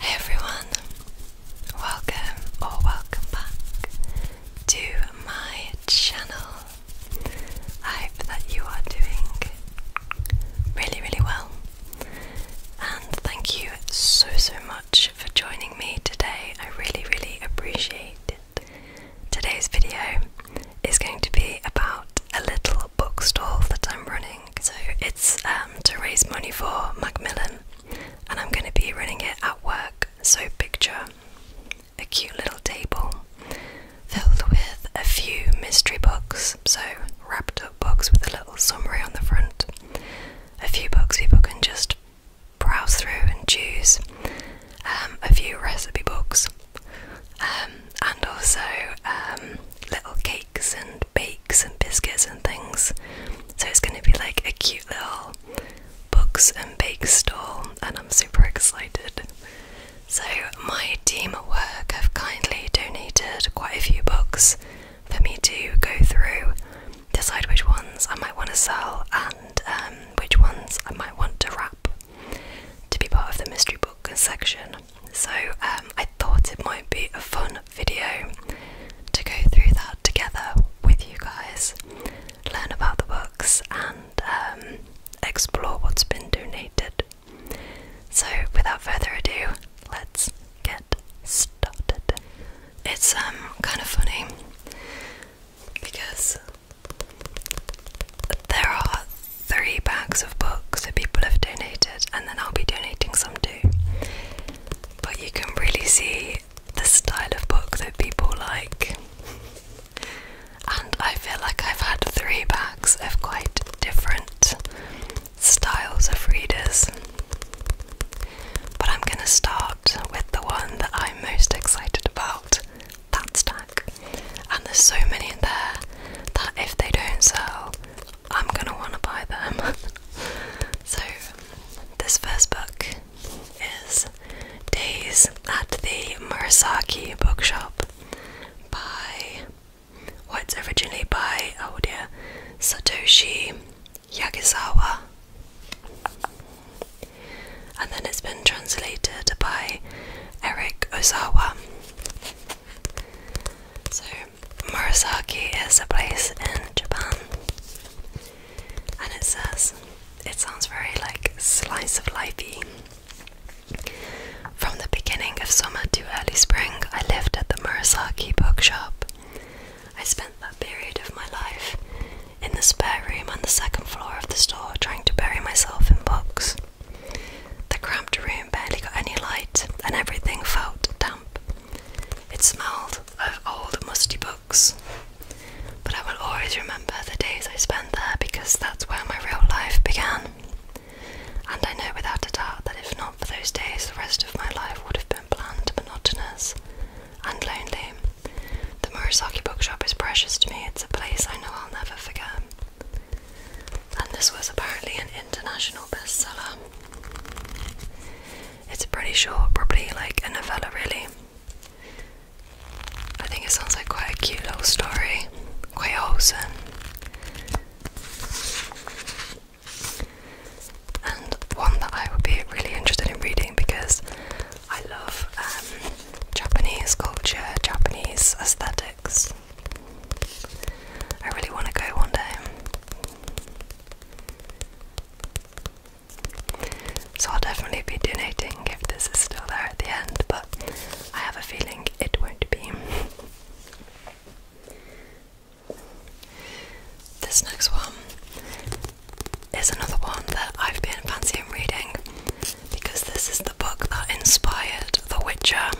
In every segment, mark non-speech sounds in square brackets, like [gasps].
Hey everyone, welcome or welcome back to my channel. I hope that you are doing really, really well, and thank you so, so much for joining me today. I really, really appreciate it. Today's video is going to be about a little little bookstall that I'm running. So it's um, to raise money for Macmillan, and I'm going to be running it at work. So picture a cute little table filled with a few mystery books, so wrapped up books with a little summary on the front. A few books people can just browse through and choose. Um, a few recipe books, um, and also little cakes and bakes and biscuits and things. So it's going to be like a cute little books and bake stall, and I'm super excited. So, my team at work have kindly donated quite a few books for me to go through, decide which ones I might want to sell and um, which ones I might want to wrap to be part of the mystery book section. So um, I thought it might be a fun video to go through that together with you guys, learn about the books, and um, explore what's been donated. So without further ado, let's get started. It's um, kind of funny because there are three bags of books that people have donated and then I'll be donating some too. But you can really see the style of book that people like. And I feel like I've had three bags of quite different styles of readers. But I'm going to start with the one that I'm most excited about that stack. And there's so many in there that if they don't sell, I'm gonna wanna buy them. [laughs] so, this first book is Days at the Murasaki Bookshop by. what's originally by, oh dear, Satoshi Yagisawa. And then it's been translated by Eric Ozawa. So Murasaki is a place in Japan. And it says, it sounds very like slice of lifey. From the beginning of summer to early spring, I lived at the Murasaki bookshop. I spent that period of my life in the spare room on the second floor of the store trying to bury myself in books. The cramped room room barely got any light, and everything felt damp. It smelled of old, musty books. But I will always remember the days I spent there because that's where my real life began. And I know without a doubt that if not for those days, the rest of my life would have been bland, monotonous, and lonely. The Murasaki bookshop is precious to me, it's a place I know I'll never forget and this was apparently an international bestseller. It's pretty short, probably like a novella, really. I think it sounds like quite a cute little story, quite wholesome. And one that I would be really interested in reading because I love um, Japanese culture, Japanese aesthetic. I really want to go one day. So I'll definitely be donating if this is still there at the end, but I have a feeling it won't be. This next one is another one that I've been fancying reading because this is the book that inspired The Witcher.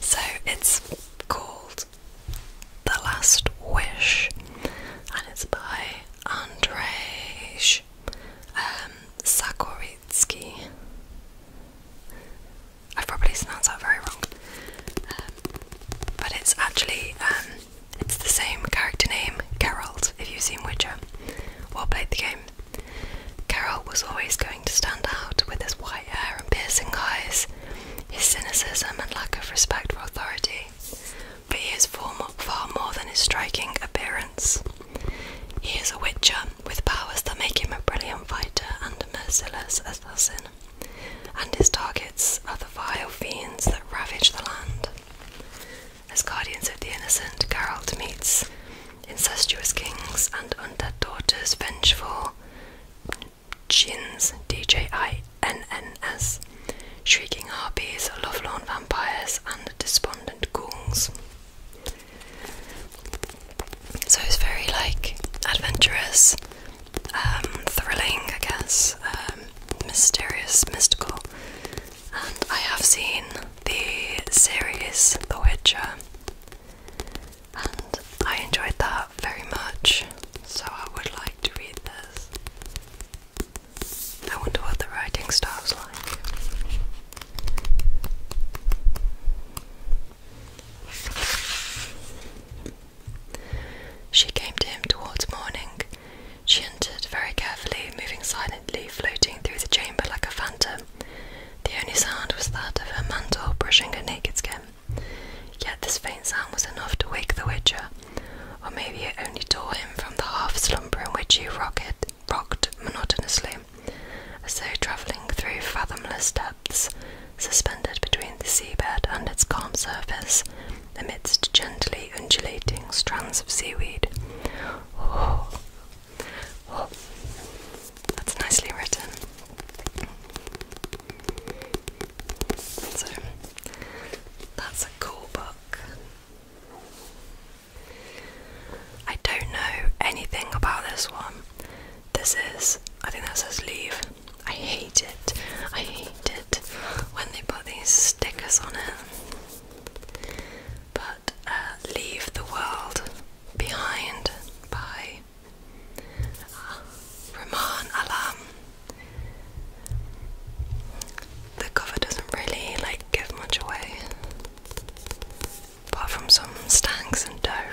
So it's called the Last Wish and it's by Andrzej um, I've probably pronounced that very wrong. Um, but it's actually um, it's the same character name, Geralt, if you've seen Witcher or played the game. Geralt was always going to stand out with his wild white hair and piercing eyes, his cynicism and lack of respect for authority, but he is far more, than his striking appearance. He is a witcher with powers that make him a brilliant fighter and a merciless assassin, and his targets are the vile fiends that ravage the land. As guardians of the innocent, Geralt meets incestuous kings and undead daughters vengeful Jins, D-J-I-N-N-S, Shrieking Harpies, Lovelorn Vampires, and Despondent Ghouls. So it's very like adventurous, um, thrilling, I guess, um, mysterious, mystical. And I have seen the series The Witcher, and I enjoyed that very much, so I would like to read this. I wonder what the writing style's like. She came to him towards morning. She entered very carefully, moving silently, floating through the chamber like a phantom. The only sound was that of her mantle brushing her naked skin. Yet this faint sound was enough to wake the Witcher, or maybe it only tore him from the half slumber in which he rocked, rocked monotonously, as though travelling through fathomless depths, suspended between the seabed and its calm surface, amidst gently undulating strands of seaweed. Oh. Oh. That's nicely written. So, that's a cool book. I don't know anything about this one. This is, I think that says leave. I hate it. I hate it when they put these stickers on it. But uh, Leave the World Behind by uh, Alam. The cover doesn't really like give much away, apart from some stangs and dough.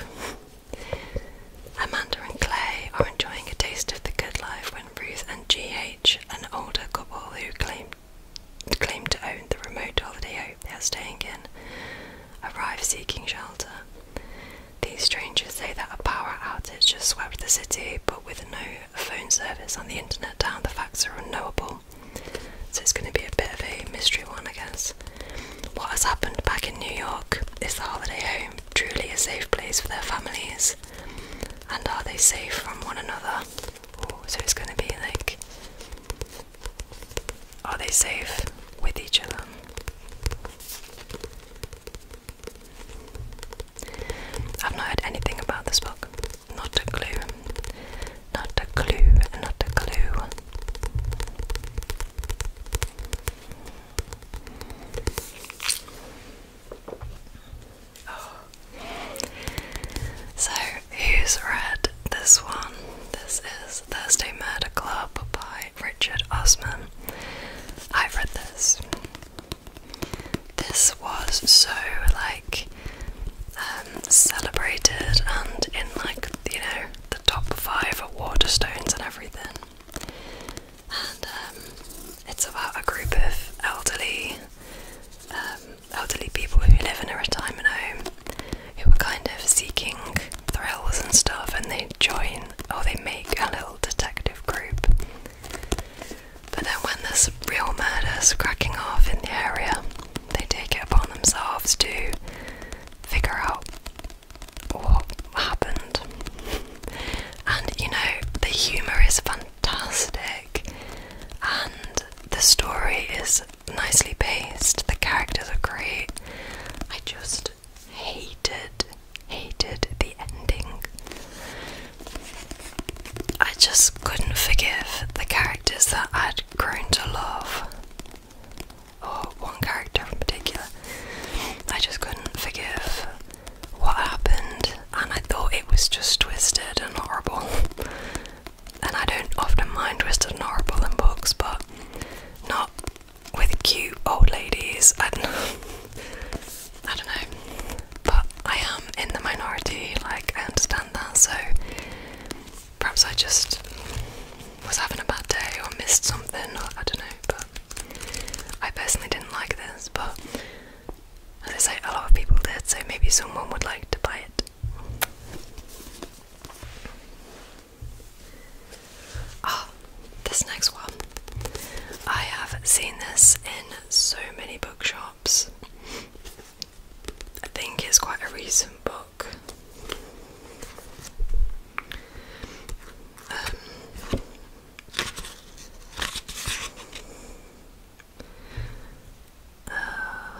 Amanda and Clay are enjoying a taste of the good life when Ruth and G.H., an older couple who claim claim to own the remote holiday home they are staying in, arrive seeking shelter. These strangers say that a power outage just swept the city, but with no phone service and the internet down, the facts are unknowable. So it's going to be a bit of a mystery one, I guess. What has happened back in New York? Is the holiday home truly a safe place for their families? And are they safe from one another? so it's going to be like are they safe with each other? I've not heard anything about this book. Not a clue. Not a clue. Not a clue. Oh. So, who's read this one? This is Thursday Murder Club by Richard Osman. I read this. This was so like um, celebrated and in like you know the top five of Waterstones and everything. And um, it's about a group of elderly, um, elderly people who live in a retirement home who are kind of seeking thrills and stuff, and they join or they make a little detective group. But then, when there's real murders cracking off in the area, they take it upon themselves to figure out what happened. And you know, the humour is fantastic, and the story is nicely paced, the characters are great. I just hated, hated the ending. I just couldn't forgive the characters that I'd grown to love. Or one character in particular. I just couldn't forgive what happened, and I thought it was just twisted and horrible. And I don't often mind twisted and horrible in books, but not with cute old ladies and [laughs] I don't know. But I am in the minority, like I understand that, so perhaps I just was having a bad day or missed something, or I don't know, but I personally didn't like this, but as I say, a lot of people did, so maybe someone would like to buy it. Oh, this next one. I have seen this in so many bookshops. I think it's quite a recent book. Um, uh,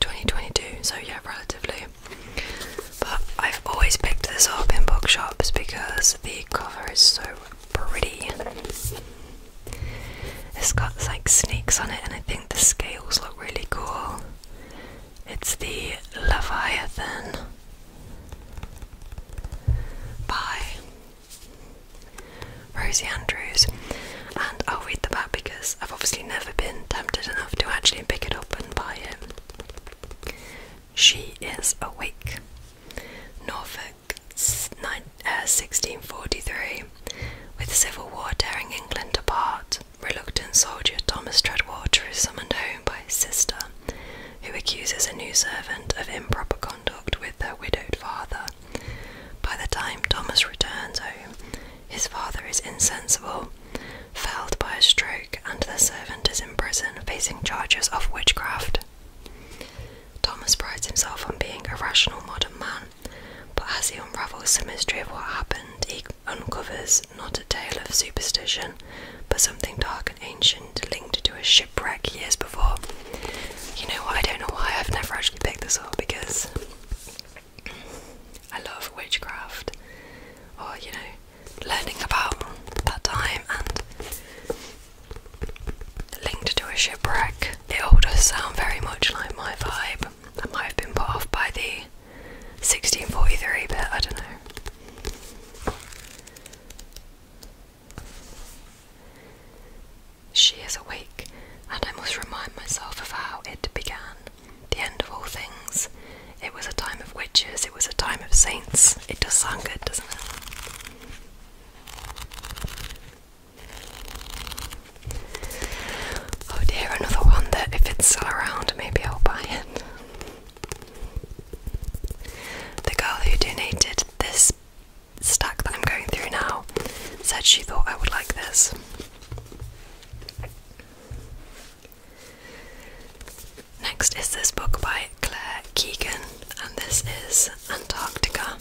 2022, so yeah, relatively. But I've always picked this up in bookshops because the cover is so pretty. It's got like snakes on it, and I think the scales look really cool. It's the Leviathan by Rosie Andrews, and I'll read the back because I've obviously never been tempted enough to actually pick it up and buy it. She is awake. Norfolk, 1643. Uh, with civil war tearing England apart, reluctant soldier Thomas Treadwater is summoned home by his sister, who accuses a new servant of improper conduct with her widowed father. By the time Thomas returns home, his father is insensible, felled by a stroke, and the servant is in prison facing charges of witchcraft. Thomas prides himself on being a rational modern man, but as he unravels the mystery of what happened, he uncovers not a tale of superstition, but something dark and ancient linked to a shipwreck years before. You know what? I don't know why I've never actually picked this up because I love witchcraft or, you know, learning about that time and linked to a shipwreck. It all does sound very much like my vibe. I might have been put off by the 1643 but I don't know. She is awake, and I must remind myself of how it began the end of all things. It was a time of witches, it was a time of saints. It does sound good, doesn't it? Oh dear, another one that if it's still around, maybe I'll buy it. The girl who donated this stack that I'm going through now said she thought I would like this. Next is this book by Claire Keegan, and this is Antarctica.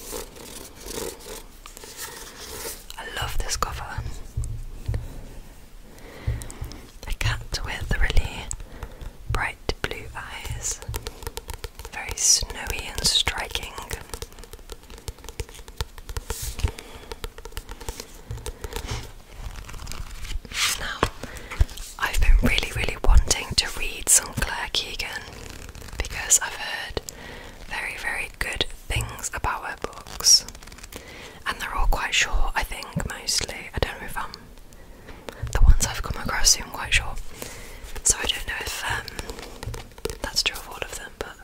I love this cover. A cat with really bright blue eyes, very snowy and striking. Now, I've been really, really wanting to read some Claire Keegan because I've heard very, very good things about her books, and they're all quite short, I think, mostly. I don't know if I'm the ones I've come across seem quite short, so I don't know if um, that's true of all of them, but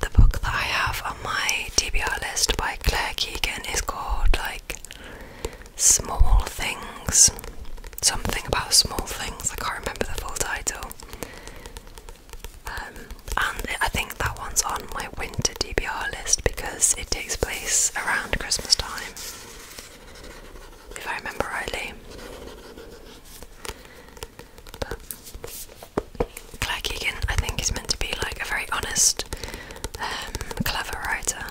the book that I have on my DBR list by Claire Keegan is called like Small Things. Something about small things. I can't remember the full title. Um, and I think that one's on my winter DBR list because it takes place around Christmas time, if I remember rightly. Claire Keegan, I think, is meant to be like a very honest, um, clever writer.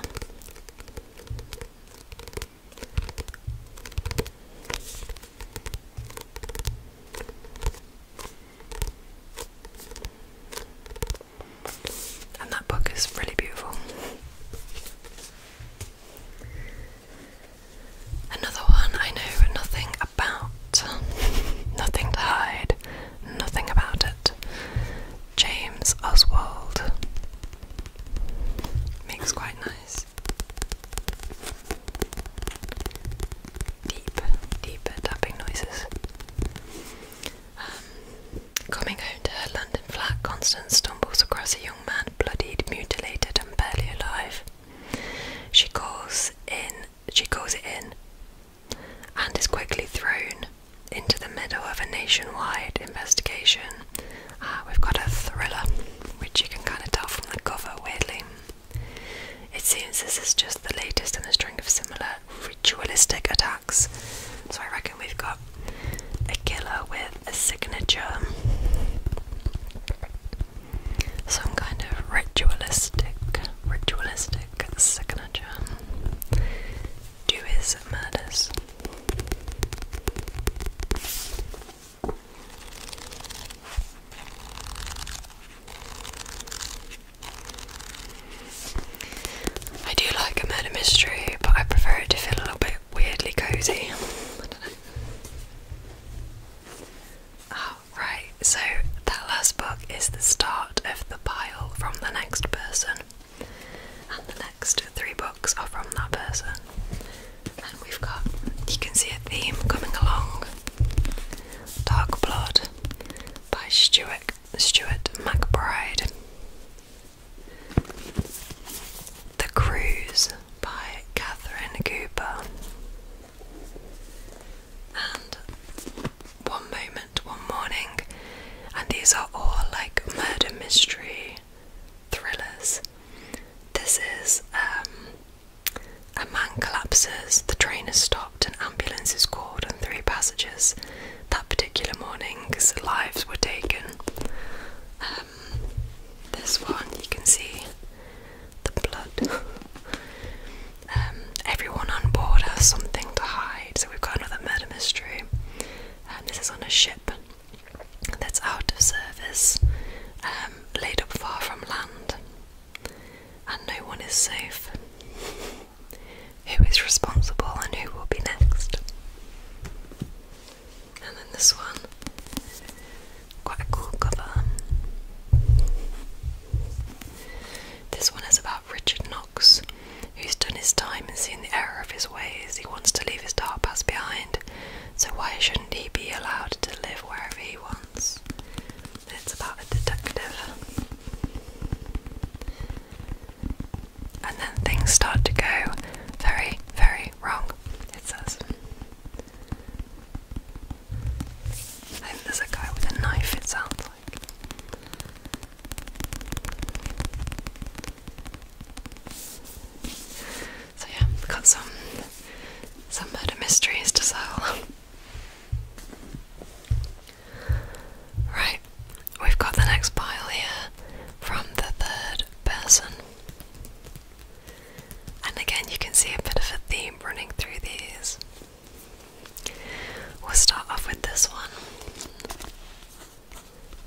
And that book is really beautiful. Another one I know nothing about, nothing to hide, nothing about it. James Oswald makes quite nice, deep, deeper tapping noises. Um, coming home to her London flat, Constance stumbles across a young man, bloodied, mutilated, and barely alive. She calls in she calls it in and is quickly thrown into the middle of a nationwide investigation. Ah, we've got a thriller, which you can kind of tell from the cover, weirdly. It seems this is just the latest in a string of similar ritualistic attacks. So I reckon we've got a killer with a signature some kind of ritualistic, ritualistic signature to murders. I do like a murder mystery, but I prefer it to feel a little bit weirdly cozy. [laughs] Right, so that last book is the start of the pile from the next person, and the next three books are from that person. And we've got, you can see a theme coming along Dark Blood by Stuart, Stuart McBride, The Cruise by Catherine Cooper. And one moment, one morning, and these are all like murder mystery thrillers. This is um, a man collapses, the train is stopped, an ambulance is called, and three passengers that particular morning's lives were taken. Um, this one you can see the blood. [laughs] Um, everyone on board has something to hide, so we've got another murder mystery. And this is on a ship that's out of service, um, laid up far from land, and no one is safe. Who is responsible and who will be next? And then this one Quite a cool cover. This one is about Richard Knox, who's done his time and seen the error of his ways. He wants to leave his dark past behind, so why shouldn't he be allowed to live wherever he wants? It's about a detective. And then things start to go very, very wrong, it says. I think there's a guy with a knife, it sounds like. So yeah, got some some murder mysteries to sell. Right, we've got the next pile here from the third person. And again, you can see a bit of a theme running through these. We'll start off with this one.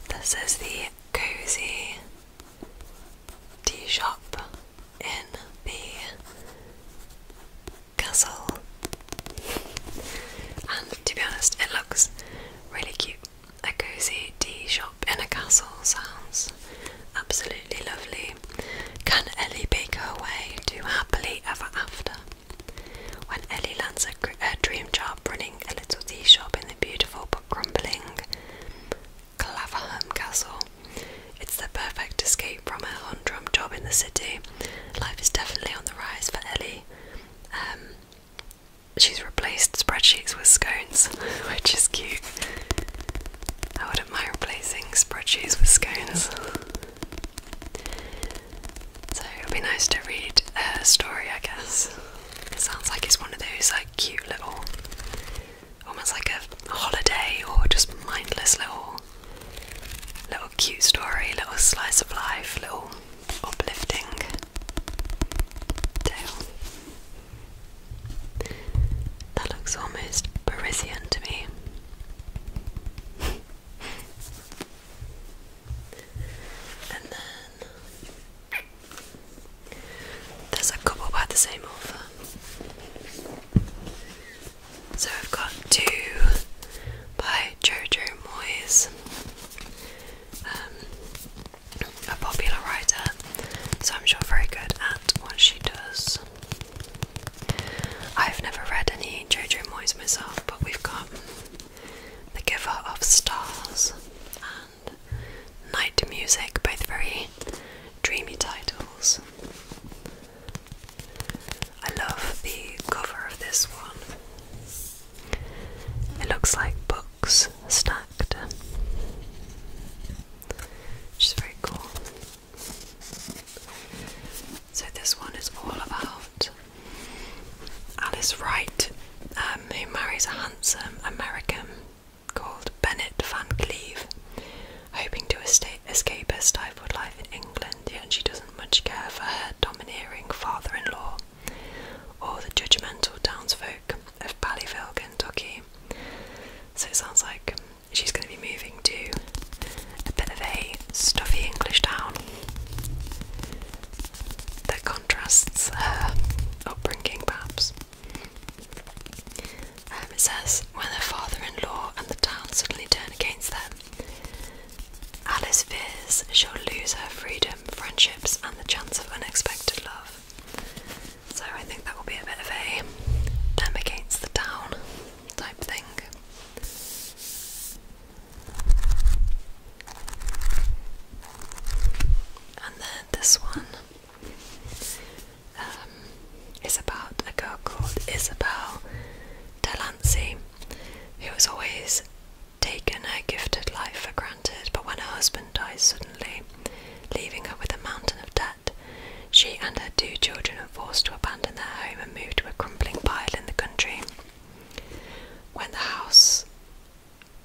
This is the cozy tea shop in the castle. And to be honest, it looks really cute. A cozy tea shop in a castle sounds absolutely lovely. Can Ellie beg her way to happily ever after? When Ellie lands a dream job running a little tea shop in the beautiful but crumbling Claverham Castle, it's the perfect escape from her humdrum job in the city. Life is definitely on the rise for Ellie. Um, she's replaced spreadsheets with scones, [laughs] which is cute. I wouldn't mind replacing spreadsheets with scones. so it would be nice to read a story, I guess. It sounds like it's one of those like cute little, almost like a holiday or just mindless little, little cute story, little slice of life, little uplifting tale. That looks almost Parisian to me. [laughs] and then there's a couple by the same author. So I've got two by Jojo Moyes, um, a popular writer so I'm sure very good at what she does. I've never read any Jojo Moyes myself, but we've got The Giver of Stars and Night Music, both very dreamy titles. I love the cover of this one. It looks like books stacked which is very cool. So this one is all about Alice Wright, um, who marries a handsome American called Bennett Van Cleve, hoping to estate, escape her stifled life in England. And she doesn't much care for her domineering father-in-law or the judgmental townsfolk of Ballyville, Kentucky. So it sounds like she's going to be moving to a bit of a stuffy English town that contrasts her upbringing, perhaps. Um, it says when her father-in-law and the town suddenly turn against them, Alice fears she'll lose her freedom, friendships, and the chance of unexpected love. So I think that will be a bit of a them against the town type thing. And then this one um, is about a girl called Isabel Delancey, who has always taken her gifted life for granted, but when her husband dies suddenly, leaving her with a mountain of debt. She and her two children are forced to abandon their home and move to a crumbling pile in the country. When the house,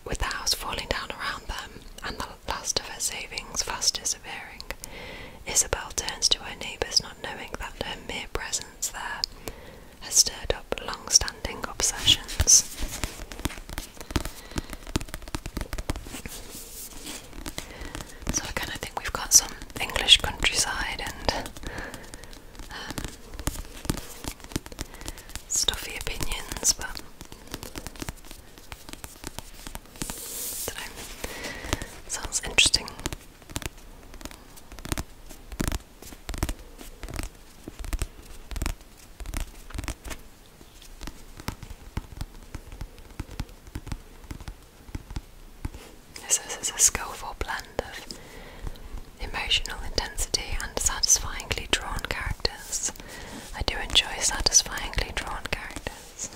with the house falling down around them and the last of her savings fast disappearing, Isabel turns to her neighbours, not knowing that her mere presence there has stirred up long-standing obsessions. So I kind of think we've got some English countryside and um, stuffy opinions, but Sounds interesting this is a skillful blend of emotional intensity and satisfyingly drawn characters. I do enjoy satisfyingly drawn characters.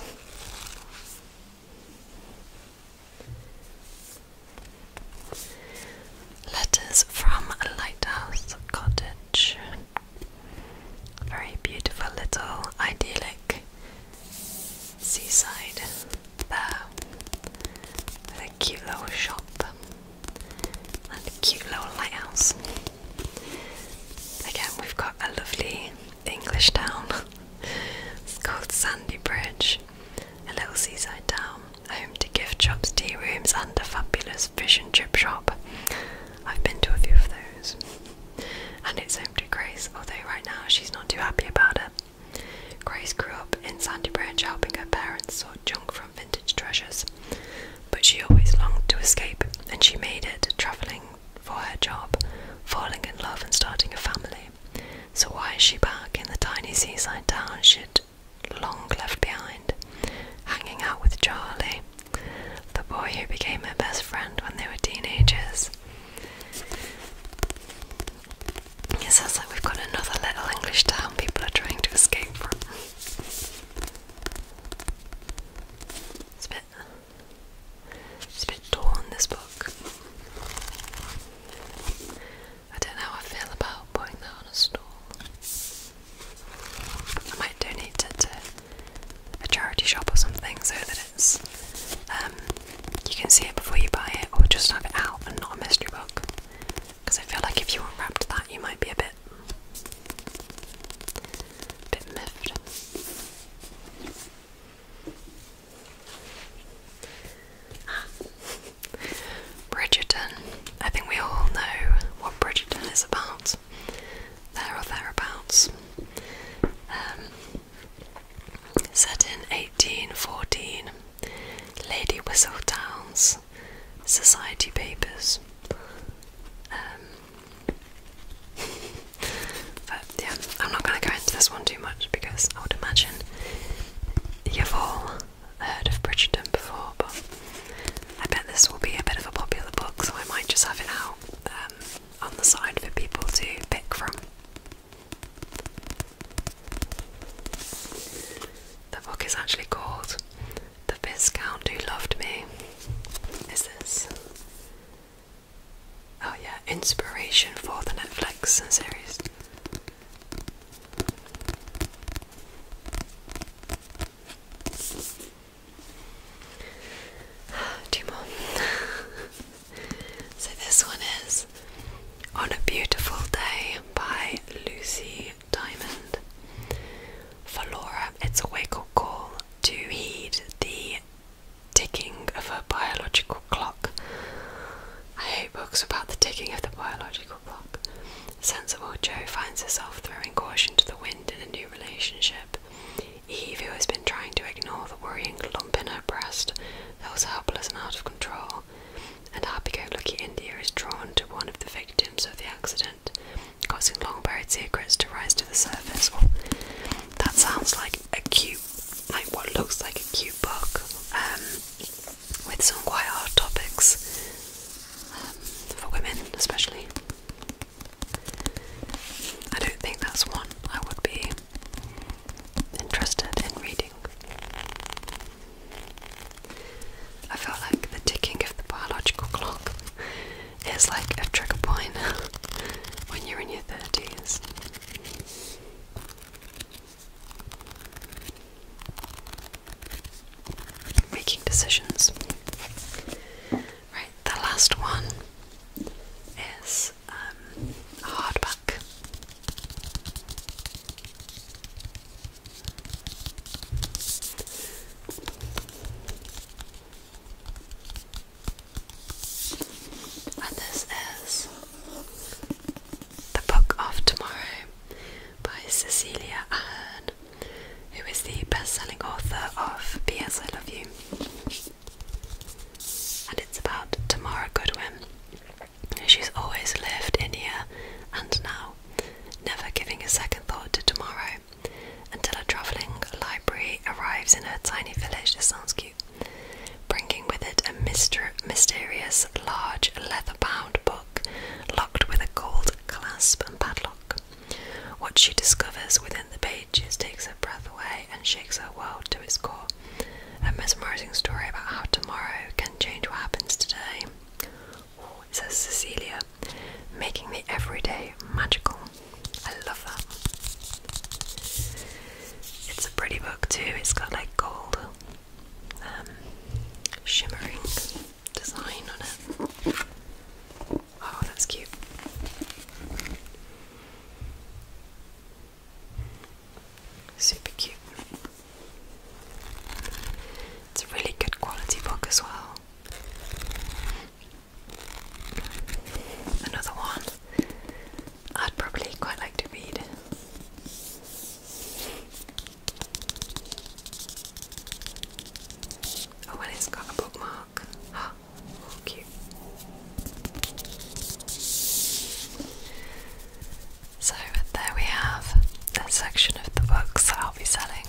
Letters from a Lighthouse Cottage. Very beautiful little idyllic seaside there with a cute little shop and a cute little lighthouse. Again, we've got a lovely English town. [laughs] it's called Sandy Bridge, a little seaside town, home to gift shops, tea rooms, and a fabulous Texas fish and chip shop. I've been to a few of those. And it's home to Grace, although right now she's not too happy about it. Grace grew up in Sandy Branch helping her parents sort junk from vintage treasures. But she always longed to escape, and she made it, travelling for her job, falling in love and starting a family. So why is she back in the tiny seaside town she'd long left behind, hanging out with Charlie, the boy who became her best friend when they were teenagers. It sounds like we've got another little English town people are trying to escape from. It's a bit, it's a bit torn, this book. I don't know how I feel about putting that on a stall. I might donate it to a charity shop or something so that it's um, you can see it before you buy it, or just have it out and not a mystery book. Because I feel like if you unwrapped that, you might be a bit, bit miffed. Bridgerton. I think we all know what Bridgerton is about there or thereabouts. Um, set in 1814, Lady Whistledown's Society Papers. Um, [laughs] but yeah, I'm not going to go into this one too much because I would imagine you've all heard of Bridgerton before, but I bet this will be a bit of a popular book, so I might just have it out um, on the side for people to pick from. The book is actually called The Viscount Who Loved Me. Is this? Oh, yeah, inspiration for the Netflix series. [sighs] Two more. [laughs] so this one is On a Beautiful Day by Lucy Diamond. For Laura, it's a wake up call to heed the ticking of a biological clock. I hate books about the ticking of the biological clock. Sensible Joe finds herself throwing caution to the wind in a new relationship. Eve, who has been trying to ignore the worrying lump in her breast, that was helpless and out of control, and happy-go-lucky India is drawn to one of the victims of the accident, causing long-buried secrets to rise to the surface. Well, that sounds like a cute, like what looks like a cute book, um, with some quite hard topics um, for women, especially. I don't think that's one I would be interested in reading. I felt like the ticking of the biological clock is like a trigger point [laughs] when you're in your 30s. Making decisions. Right, the last one is um, hardback. And this is The Book of Tomorrow by Cecilia Ahern who is the best selling author of P.S. I Love You. And it's about Tamara Goodwin. She's always lived in here and now, never giving a second thought to tomorrow until a travelling library arrives in her tiny village. This sounds cute. Bringing with it a mysterious, large, leather bound book locked with a gold clasp and padlock. What she discovers within the pages takes her breath away and shakes her world to its core. A mesmerizing story about how tomorrow can change what happens today. Oh, it says Cecilia, making the everyday magical. I love that. It's a pretty book too. It's got like gold um, shimmering design on it. Oh, that's cute. Super cute. It's a really good quality book as well. Another one I'd probably quite like to read. Oh, and it's got a bookmark. Oh, [gasps] cute. So there we have a section of the books that I'll be selling.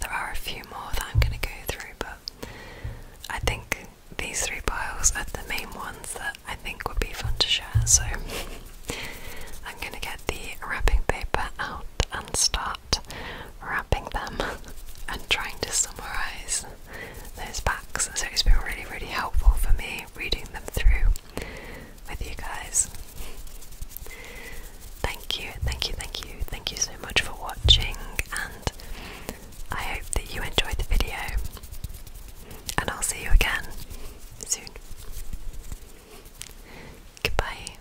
There are a few more that I'm going to go through, but I think these three piles are the main ones that I think would be fun to share. So [laughs] I'm going to get the wrapping paper out and start wrapping them [laughs] and trying to summarize those packs. So it's been really, really helpful for me reading them through with you guys. Thank you, thank you, thank you, thank you so much for watching, and I hope that you enjoyed the video. And I'll see you again soon. Goodbye.